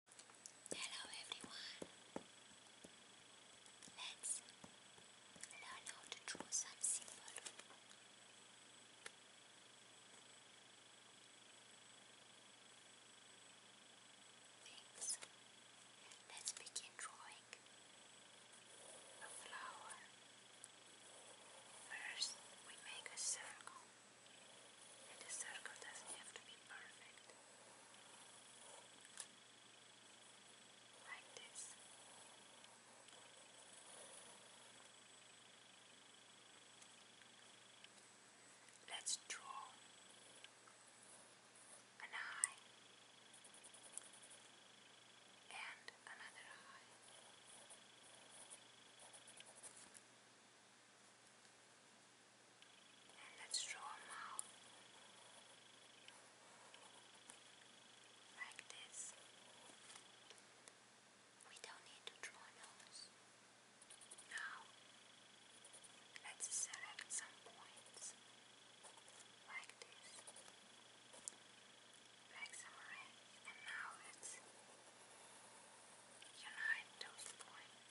Hello everyone! Let's learn how to draw some symbol. Thanks. Let's begin drawing a flower. First, we make a circle. The circle doesn't have to be perfect. Like this. Let's draw an eye and another eye let's draw a mouth like this. We don't need to draw nose. Now, let's select some points like this, like some red, and now let's unite those points.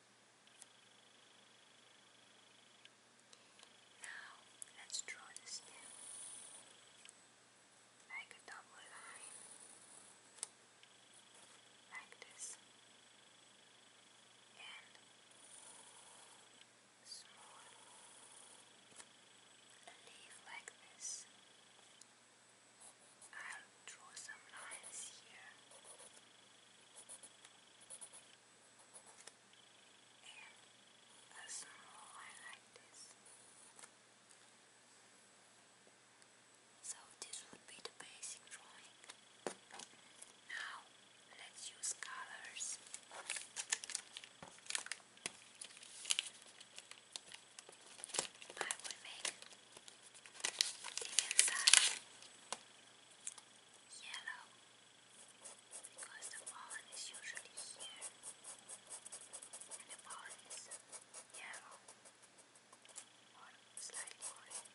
Now, let's draw the stem. Like a double line. Like this. And small a leaf like this. I'll draw some lines here and a small one So this would be the basic drawing. Now let's use colors. I will make the inside yellow because the pollen is usually here and the pollen is yellow or slightly orange.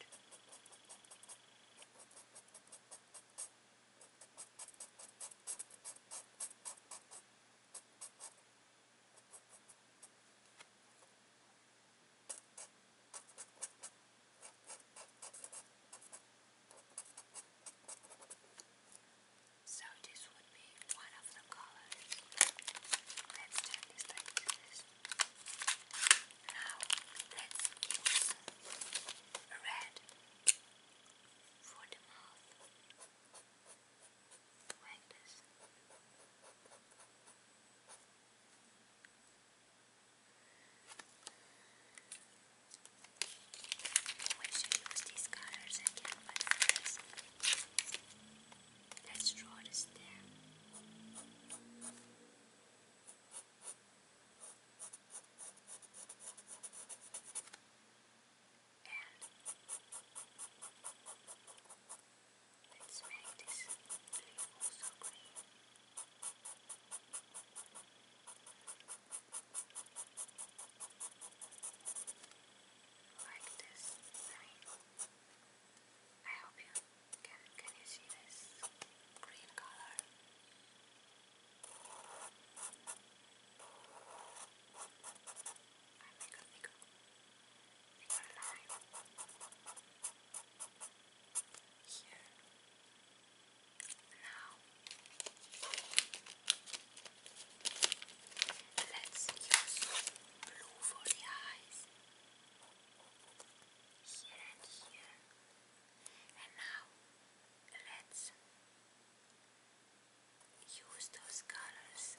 So this would be one of the colors. Let's turn this like this. Now let's use red for the mouth. Like this. Always use these colors again, but first let's draw the stem. Let's make this blue also green. Like this line. I hope you can can you see this green color? I make a bigger. I here. Now. Let's use blue for the eyes. Here and here. And now let's use those colors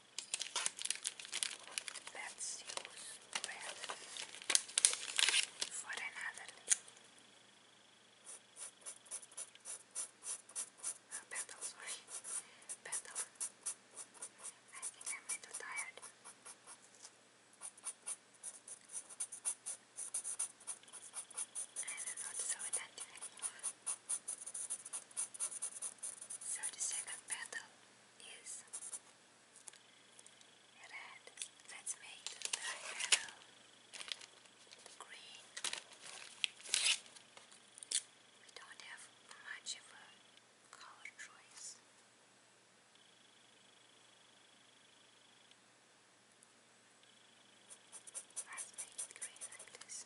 Let's use red for another oh, sorry, petal. I think I'm a tired. I'm not so attentive anymore. So the second petal is red. Let's make the yellow, green. We don't have much of a color choice. Let's make it green like this.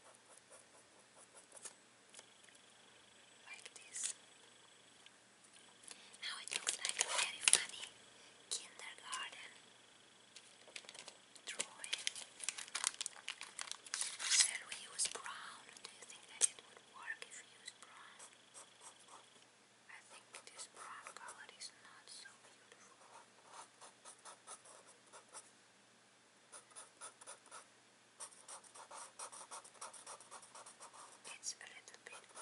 Like this. Now it looks like a very funny kindergarten drawing. Shall we use brown? Do you think that it would work if we use brown? I think this brown color is not so beautiful. It's a little bit, bit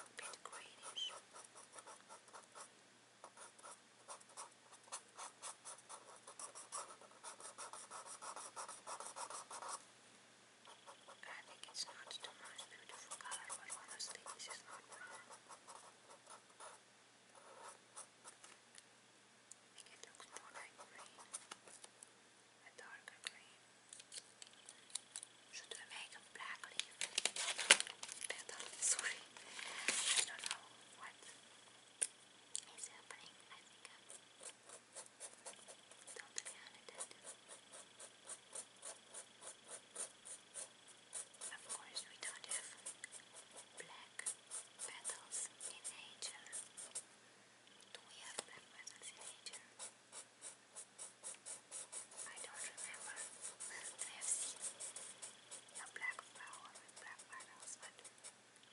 greenish. I think it's not the most beautiful color, but honestly, this not brown. I think it looks more like green, a darker green. Should we make a black leaf? Better, sorry. I don't know what is happening. I think I'm totally unattended. Of course, we don't have black black petals in nature. Do we have petals in nature? I don't remember to have seen a black flower black petals, but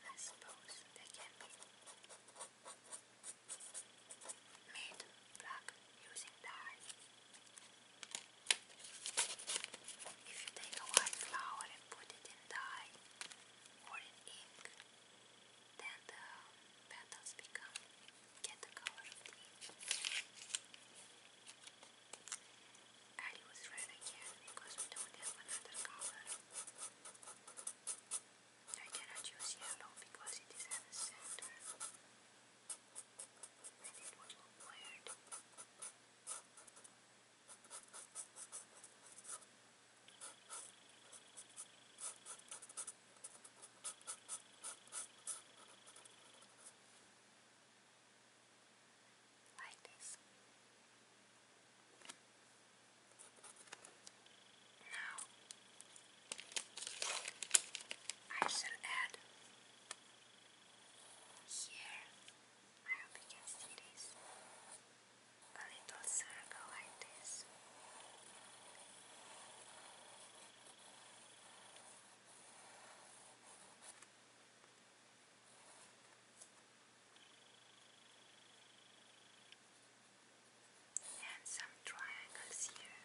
I suppose they can be made black using dye. If you take a white flower and put it in dye or in ink, then the petals become get the color of the red again because we don't have another color. I cannot use yellow because it is at the center. And it would look weird. Like this. Now, I shall add here, I hope you can see this. A little circle like this. And some triangles here.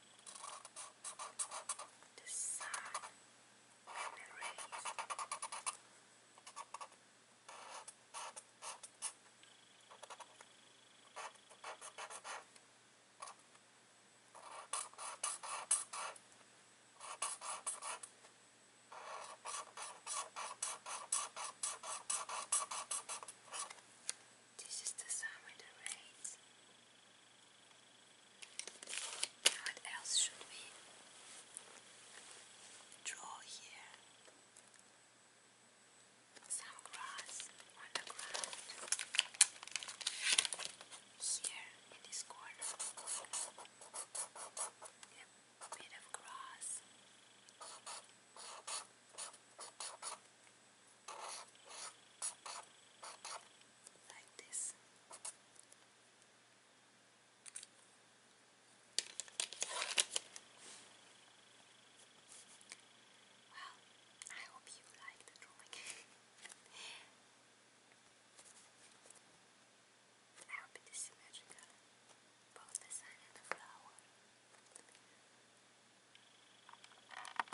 the sun and the This is the sun with the rays. What else should we draw here? Some grass on the ground here in this corner. A bit of grass like this. Well, I hope you like the drawing. I hope it is symmetrical, both the sun and the flower.